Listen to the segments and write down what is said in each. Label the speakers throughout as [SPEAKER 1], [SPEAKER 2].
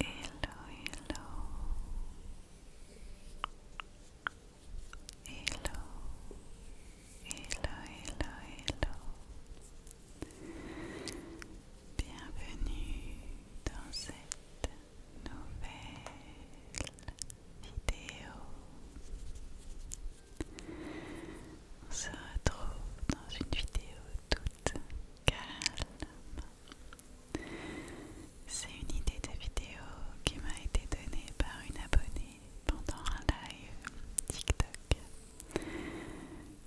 [SPEAKER 1] Hello, hello. Hello. Hello, hello, hello. Bienvenue dans cette nouvelle vidéo. On se retrouve dans une vidéo toute calme c'est une idée de vidéo qui m'a été donnée par une abonnée pendant un live TikTok.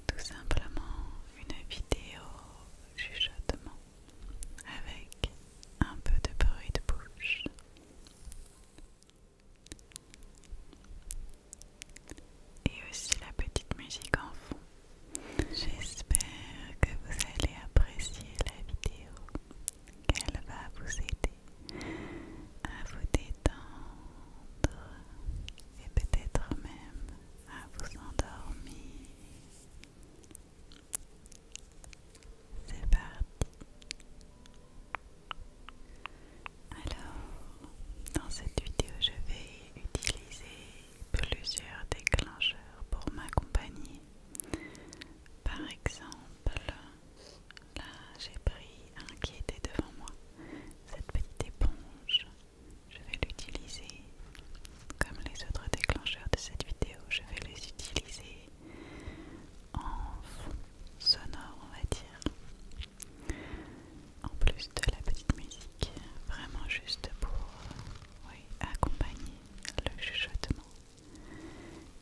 [SPEAKER 1] Tout simplement une vidéo chuchotement avec un peu de bruit de bouche et aussi la petite musique en fond. J'espère que vous allez apprécier la vidéo, qu'elle va vous aider à vous détendre et peut-être même à vous endormir. C'est parti. Alors, dans cette vidéo, je vais utiliser plusieurs déclencheurs pour m'accompagner. Par exemple, là j'ai pris un qui était devant moi, cette petite éponge. Je vais l'utiliser comme les autres déclencheurs de cette vidéo, je vais les utiliser en fond sonore, on va dire. En plus de la petite musique vraiment juste pour euh, accompagner le chuchotement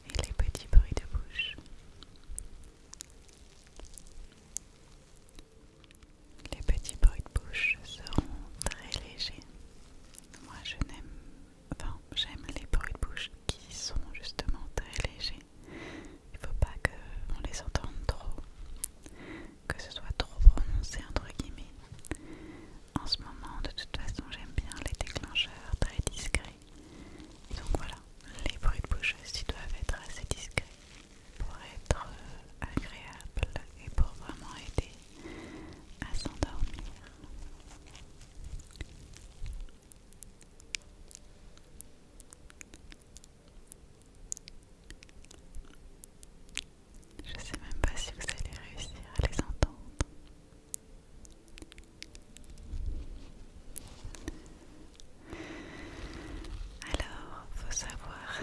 [SPEAKER 1] et les petits bruits de bouche. Les petits bruits de bouche seront très légers. Moi je n'aime enfin j'aime les bruits de bouche qui sont justement très légers. Il ne faut pas qu'on les entende trop que ce soit trop prononcé entre guillemets. En ce moment, de toute façon, j'aime bien les déclencheurs très discrets. Donc voilà, les bruits de bouche aussi doivent être assez discrets pour être euh, agréables et pour vraiment aider à s'endormir. Je sais même pas si vous allez réussir à les entendre. Alors, faut savoir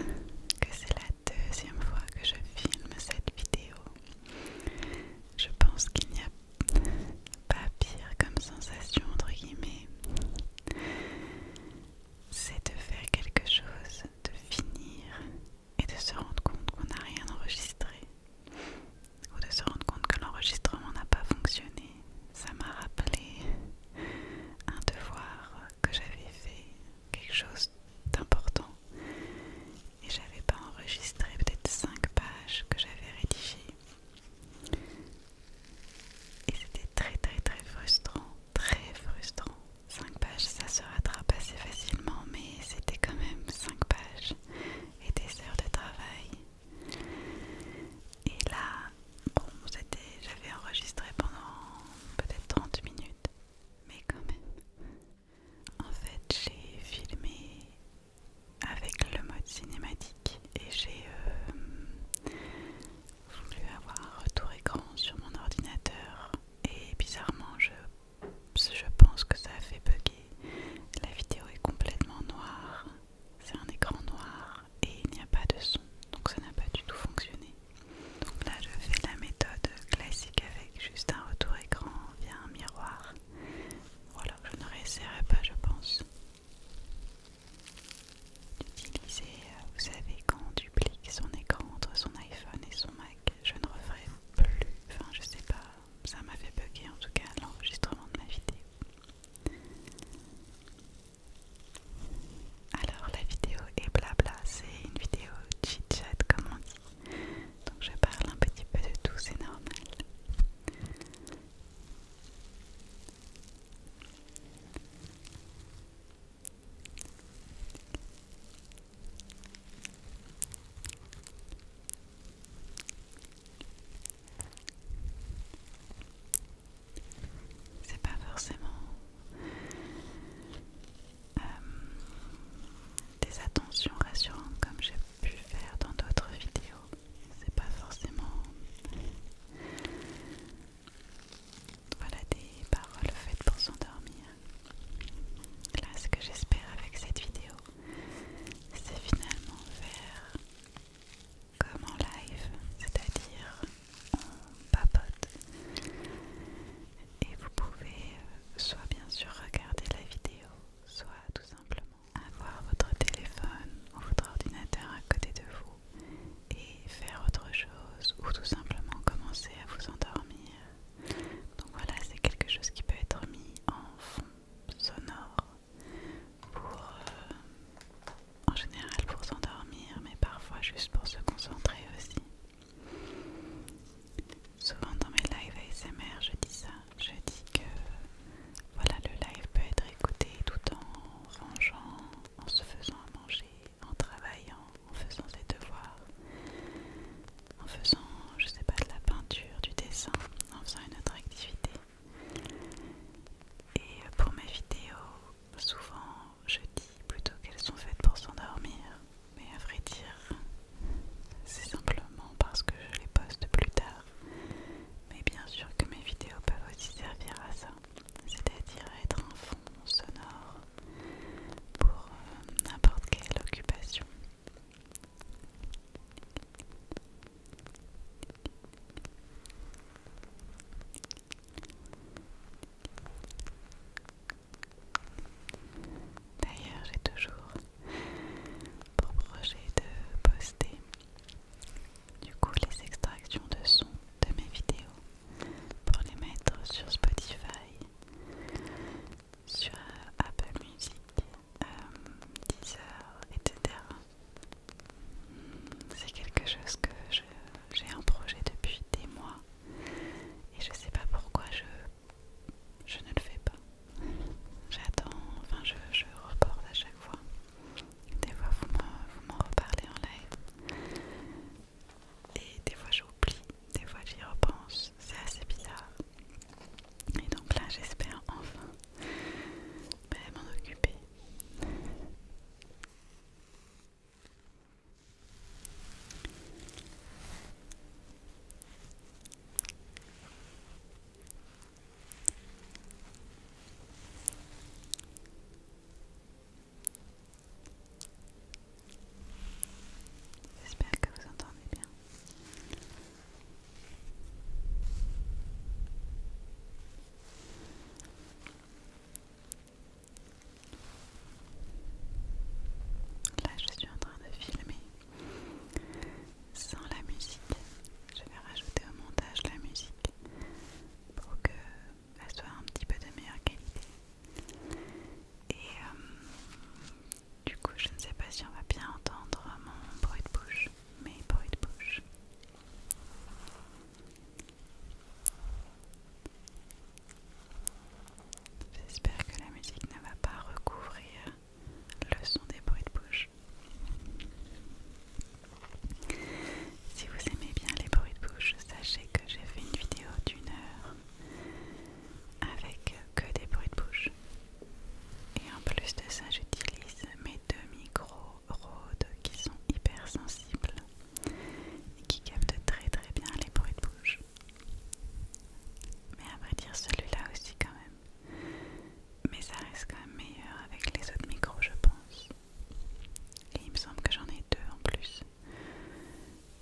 [SPEAKER 1] que c'est la deuxième fois que je filme cette vidéo. Je pense qu'il n'y a pas pire comme sensation entre guillemets c'est de faire quelque chose, de finir et de se rendre compte qu'on n'a rien enregistré ou de se rendre compte que l'enregistrement n'a pas fonctionné. Ça m'a rappelé un devoir que j'avais fait, quelque chose d'important et j'avais pas enregistré peut-être 5 pages que j'avais rédigées. Et c'était très très très frustrant très frustrant. 5 pages, ça se rattrape assez facilement, mais c'était quand même 5 pages et des heures de travail. Et là, bon, j'avais enregistré pendant peut-être 30 minutes, mais quand même. En fait, j'ai filmé avec le mode cinématique et j'ai euh, voulu avoir un retour écran sur mon ordinateur et bizarrement je, je pense que ça a fait bugger. La vidéo est complètement noire, c'est un écran noir et il n'y a pas de son, donc ça n'a pas du tout fonctionné. Donc là je fais la méthode classique avec juste un retour écran via un miroir. Voilà, je ne réessayerai pas je pense d'utiliser, euh, vous savez, quand on duplique son écran entre son iPhone et son Mac, je ne referai plus, enfin je sais pas, ça m'a fait bugger en tout cas l'enregistrement de ma vidéo. Alors la vidéo est blabla, c'est une vidéo chit-chat comme on dit, donc je parle un petit peu de tout, c'est normal. C'est pas forcément euh, des attentions rassurantes comme j'ai pu faire dans d'autres vidéos. C'est pas forcément voilà des paroles faites pour s'endormir. Là, ce que j'espère avec cette vidéo, c'est finalement faire comme en live, c'est-à-dire on papote. Et vous pouvez euh, soit bien sûr regarder la vidéo, soit tout simplement avoir votre téléphone ou votre ordinateur à côté de vous et faire autre chose ou tout simplement commencer à vous endormir. Donc voilà, c'est quelque chose qui peut être mis en fond sonore pour euh, en général pour s'endormir mais parfois juste pour se concentrer aussi. Souvent dans mes lives ASMR je dis ça, je dis que voilà le live peut être écouté tout en rangeant, en se faisant à manger, en travaillant, en faisant ses devoirs, en faisant, je sais pas, de la peinture, du dessin, en faisant une autre activité. Et pour mes vidéos, souvent je dis plutôt qu'elles sont faites pour s'endormir, mais à vrai dire, c'est simplement parce que je les poste plus tard. Mais bien sûr que mes vidéos peuvent aussi servir à ça c'est-à-dire être un fond sonore pour euh, n'importe quelle occupation. D'ailleurs, j'ai toujours pour projet de poster du coup les extractions de sons de mes vidéos pour les mettre sur Spotify, sur Apple Music, euh, Deezer, etc. Hmm, c'est quelque chose que j'ai un projet depuis des mois et je sais pas pourquoi je, ne le fais pas. J'attends, enfin je reporte à chaque fois. Des fois, vous m'en reparlez en live. Et des fois, j'oublie, des fois, j'y repense. C'est assez bizarre. Et donc là, j'espère enfin ben, m'en occuper. J'espère que vous entendez bien. Là, je suis en train de filmer sans la musique. Je vais rajouter au montage la musique pour que un petit peu de meilleure qualité. Et euh, du coup, je ne sais pas si on va bien entendre mon bruit de bouche, mais bruit de bouche. J'espère que la musique ne va pas recouvrir le son des bruits de bouche. Si vous aimez bien les bruits de bouche, sachez que j'ai fait une vidéo d'une heure avec que des bruits de bouche. Et en plus de ça, j'utilise mes deux micros Rode qui sont hyper sensibles et qui captent très très bien les bruits de bouche. Mais à vrai dire, celui-là aussi quand même. Mais ça reste quand même meilleur avec les autres micros, je pense. Et il me semble que j'en ai deux en plus.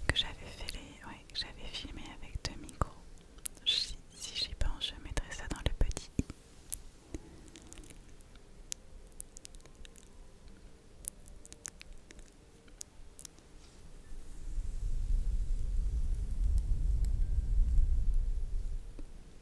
[SPEAKER 1] Que j'avais filmé avec deux micros. si j'y pense, je mettrai ça dans le petit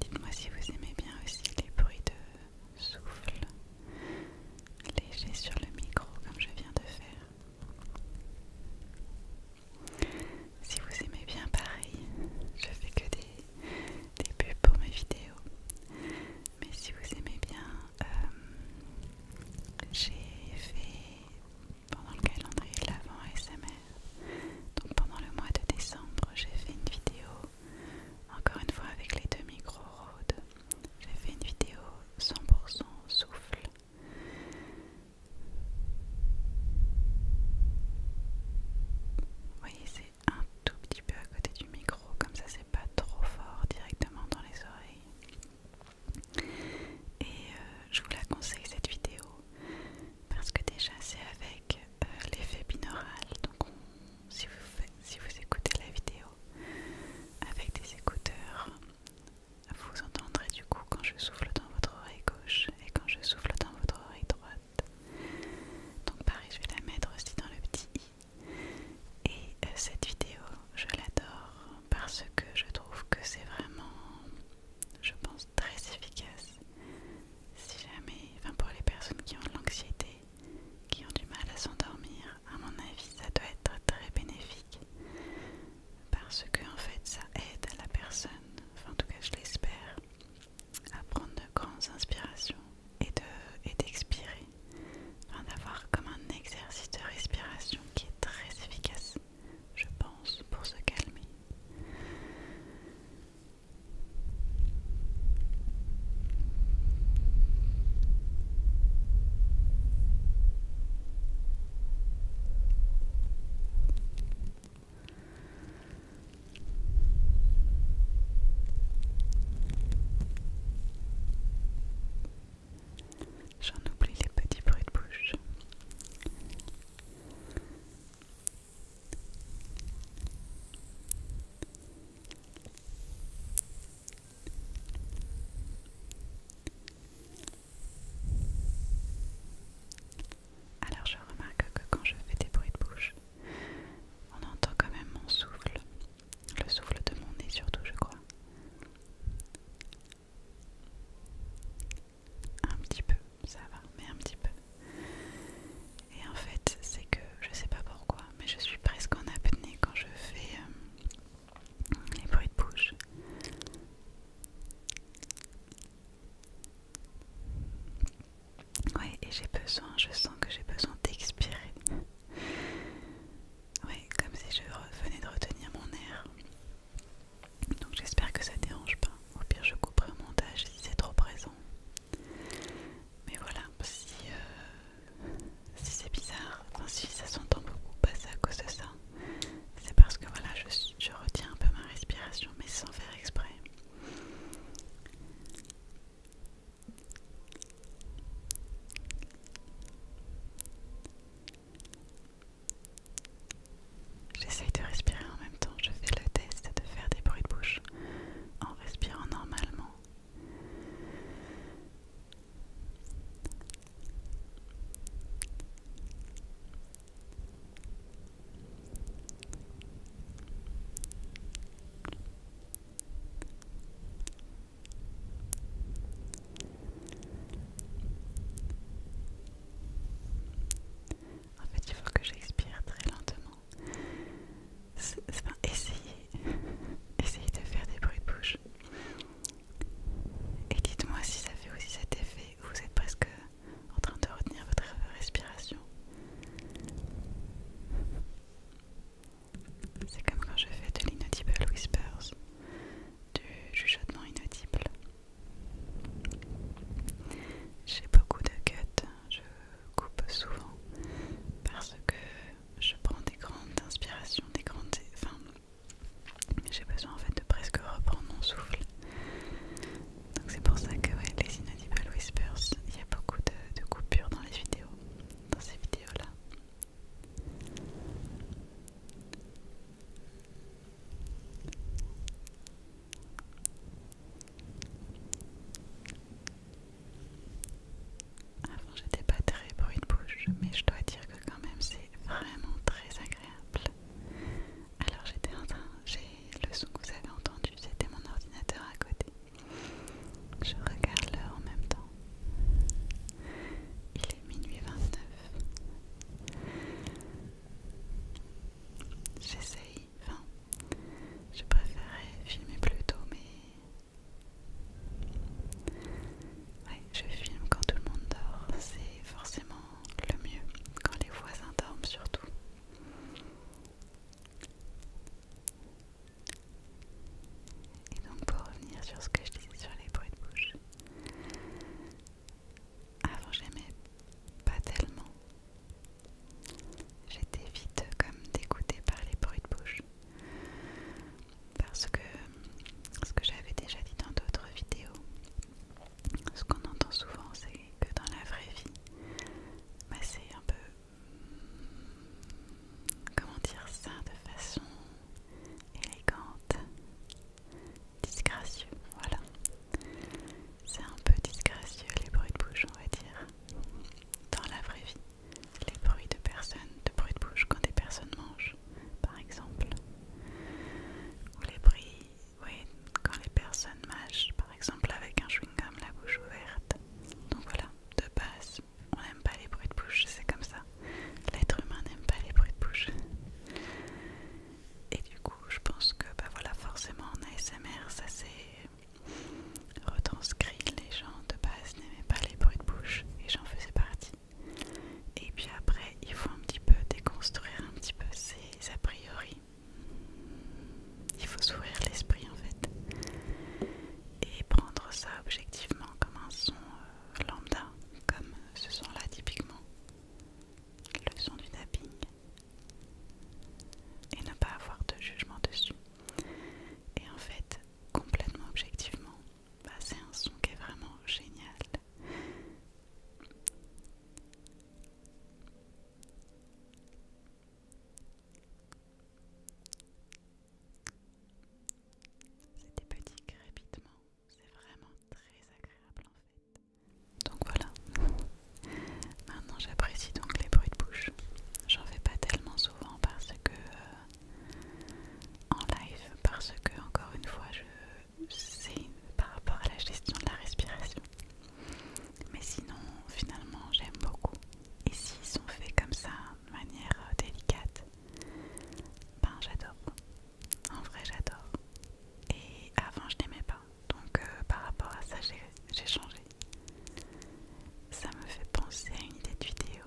[SPEAKER 1] Dites-moi si vous aimez bien aussi les bruits de souffle léger sur le micro comme je viens de faire. Si vous aimez bien pareil, je fais que des, des pubs pour mes vidéos. Mais si vous aimez bien, euh, j'ai fait pendant le calendrier de l'avant ASMR. Donc pendant le mois de décembre, j'ai fait une vidéo, encore une fois avec les deux micros Rode, j'ai fait une vidéo 100% souffle. Vous voyez, c'est un tout petit peu à côté du micro, comme ça c'est pas trop fort directement dans les oreilles. Et euh, je vous la conseille cette vidéo parce que déjà c'est avec euh, l'effet binaural donc si, vous si vous écoutez la vidéo avec des écouteurs vous entendrez du coup quand je souffle dans votre oreille gauche et quand je souffle dans votre oreille droite donc pareil je vais la mettre aussi dans le petit i et euh, cette vidéo je l'adore parce que je trouve que c'est vraiment je pense très efficace. Si jamais, enfin pour les personnes qui ont de l'anxiété, qui ont du mal à s'endormir, à mon avis, ça doit être très bénéfique parce que en fait, ça aide la personne, enfin en tout cas, je l'espère, à prendre de grandes inspirations et de et d'expirer, enfin d'avoir comme un exercice de respiration qui est très efficace je pense, pour se calmer. J'en oublie les petits bruits de bouche. Alors je remarque que quand je fais des bruits de bouche, on entend quand même mon souffle, le souffle de mon nez surtout je crois. Un petit peu, ça va, mais un petit peu. Et en fait, c'est que je sais pas pourquoi, mais je suis presque en apnée quand je fais euh, les bruits de bouche. Ouais, et j'ai besoin, je sens que j'ai besoin d'expirer. Ouais, comme si je venais de retenir mon air. Donc j'espère que ça ne dérange pas. Au pire, je couperai au montage si c'est trop présent. Mais voilà, si, euh, c'est bizarre, si ça s'entend beaucoup passer bah, à cause de ça, c'est parce que voilà, je, je retiens un peu ma respiration, mais sans faire exprès. J'essaye de respirer en même temps, je fais le test de faire des bruits de bouche en respirant normalement. En fait, il faut que j'expire très lentement. essayez, essayez de faire des bruits de bouche. Et dites-moi si ça fait aussi cet effet où vous êtes presque en train de retenir votre respiration. C'est comme quand je fais de l'inaudible whispers, du chuchotement inaudible. J'ai beaucoup de cuts, je coupe souvent parce que je prends des grandes inspirations, des grandes. Enfin, j'ai besoin en fait de presque reprendre mon souffle. Donc c'est pour ça que les inaudibles Whispers, il y a beaucoup de coupures dans les vidéos, dans ces vidéos-là. Avant j'étais pas très bruit de bouche, mais je dois dire que quand même c'est vraiment très agréable. Alors j'étais en train, j'ai le son que vous avez entendu, c'était mon ordinateur à côté. Je regarde l'heure en même temps. Il est minuit 29. J'essaye, enfin, je préférerais filmer plus tôt, mais ouais, je filme quand tout le monde dort, c'est forcément le mieux, quand les voisins dorment surtout. Et donc pour revenir sur ce que je disais sur les bruits de bouche, avant, j'aimais pas tellement. J'étais vite comme dégoûtée par les bruits de bouche. Parce que, ce que j'avais déjà dit dans d'autres vidéos, ce qu'on entend souvent, c'est que dans la vraie vie, bah, c'est un peu. Comment dire ça de façon élégante disgracieux, voilà. C'est un peu disgracieux les bruits de bouche, on va dire. Dans la vraie vie, les bruits de personnes, de bruits de bouche quand des personnes mangent, par exemple. Ou les bruits, oui, quand les personnes mâchent, par exemple avec un chewing-gum, la bouche ouverte. Donc voilà, de base, on n'aime pas les bruits de bouche, c'est comme ça. L'être humain n'aime pas les bruits de bouche. Et du coup, je pense que bah voilà, forcément en ASMR, ça s'est retranscrit. Les gens de base n'aimaient pas les bruits de bouche et j'en faisais partie. Et puis après, il faut un petit peu déconstruire un petit peu ces a priori. Il faut s'ouvrir l'esprit en fait et prendre ça objectivement comme un son euh, lambda, comme ce son là typiquement le son du tapping et ne pas avoir de jugement dessus. Et en fait, complètement objectivement, bah, c'est un son qui est vraiment génial. C'est des petits crépitements, c'est vraiment très agréable en fait. Donc voilà. Maintenant j'apprécie donc les bruits de bouche. J'en fais pas tellement souvent parce que euh, en live, parce que encore une fois je sais par rapport à la gestion de la respiration. Mais sinon finalement j'aime beaucoup. Et s'ils sont faits comme ça, de manière euh, délicate, ben j'adore. En vrai, j'adore. Et avant, je n'aimais pas. Donc, euh, par rapport à ça, j'ai changé. Ça me fait penser à une idée de vidéo.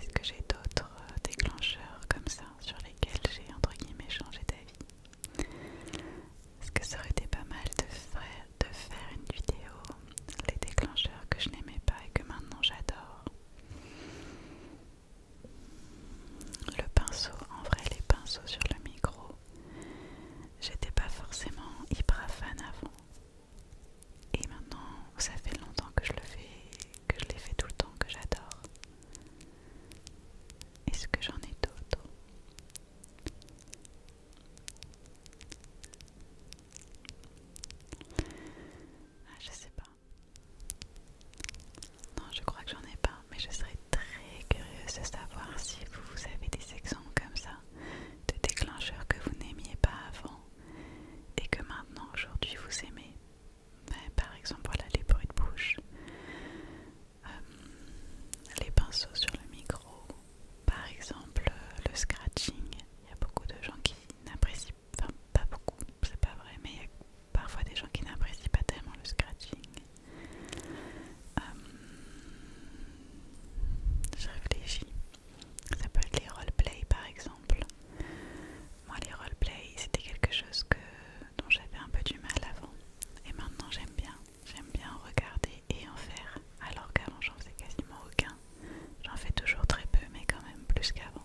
[SPEAKER 1] Est-ce que j'ai d'autres euh, déclencheurs comme ça sur lesquels j'ai, entre guillemets, changé d'avis Est-ce que ça aurait été pas mal de faire, de faire une vidéo les déclencheurs que je n'aimais pas et que maintenant j'adore le pinceau, en vrai les pinceaux sur le micro, j'étais pas forcément hyper fan avant. Et maintenant, ça fait longtemps que je le fais, que je l'ai fait tout le temps, que j'adore. Est-ce que j'en ai d'autres ah, Je sais pas. Non, je crois que j'en ai pas, mais je serais très curieuse de savoir si vous, avez des exemples comme ça de déclencheurs que vous n'aimiez pas avant et que maintenant, aujourd'hui, vous aimez. Ben, par exemple, voilà les bruits de bouche, euh, les pinceaux sur le micro, par exemple euh, le scratching. Il y a beaucoup de gens qui n'apprécient, enfin pas beaucoup, c'est pas vrai, mais il y a parfois des gens qui n'apprécient pas tellement le scratching. Euh, je réfléchis. Ça peut être les roleplays par exemple. Moi les roleplays c'était quelque chose dont j'avais un peu du mal avant. Et maintenant j'aime bien. J'aime bien en regarder et en faire. Alors qu'avant j'en faisais quasiment aucun. J'en fais toujours très peu mais quand même plus qu'avant.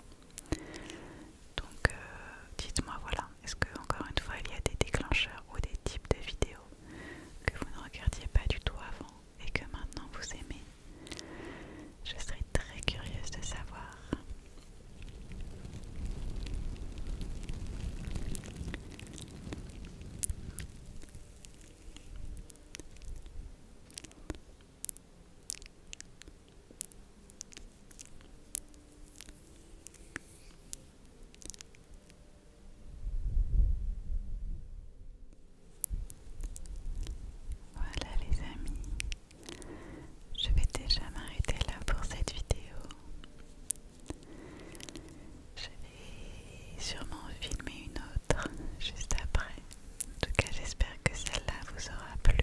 [SPEAKER 1] Donc euh, dites-moi voilà, est-ce que encore une fois il y a des déclencheurs ou des types de vidéos que vous ne regardiez pas du tout avant et que maintenant vous aimez Je serais très curieuse de savoir. Voilà les amis, je vais déjà m'arrêter là pour cette vidéo. Je vais sûrement filmer une autre juste après. En tout cas j'espère que celle-là vous aura plu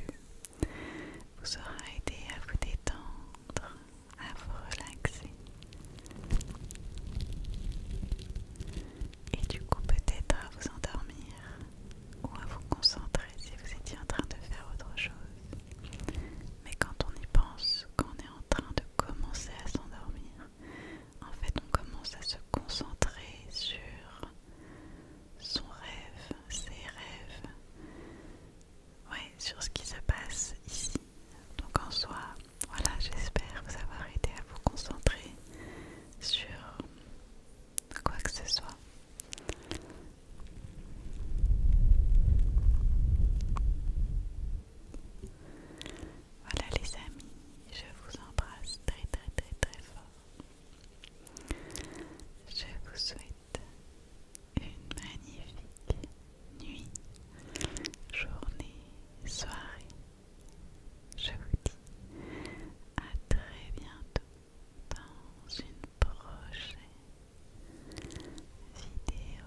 [SPEAKER 1] vous aura aidé à vous détendre, à vous relaxer. Et du coup peut-être à vous endormir ou à vous concentrer si vous étiez en train de faire autre chose. Mais quand on y pense, qu'on est en train de commencer à s'endormir, en fait on commence à se concentrer sur son rêve, ses rêves, ouais, sur ce qui se passe ici. Donc en soi, voilà, j'espère vous avoir aidé à vous concentrer sur quoi que ce soit. Voilà les amis, je vous embrasse très très très très fort. Je vous souhaite une magnifique nuit, journée, soirée. Je vous dis à très bientôt dans une prochaine vidéo.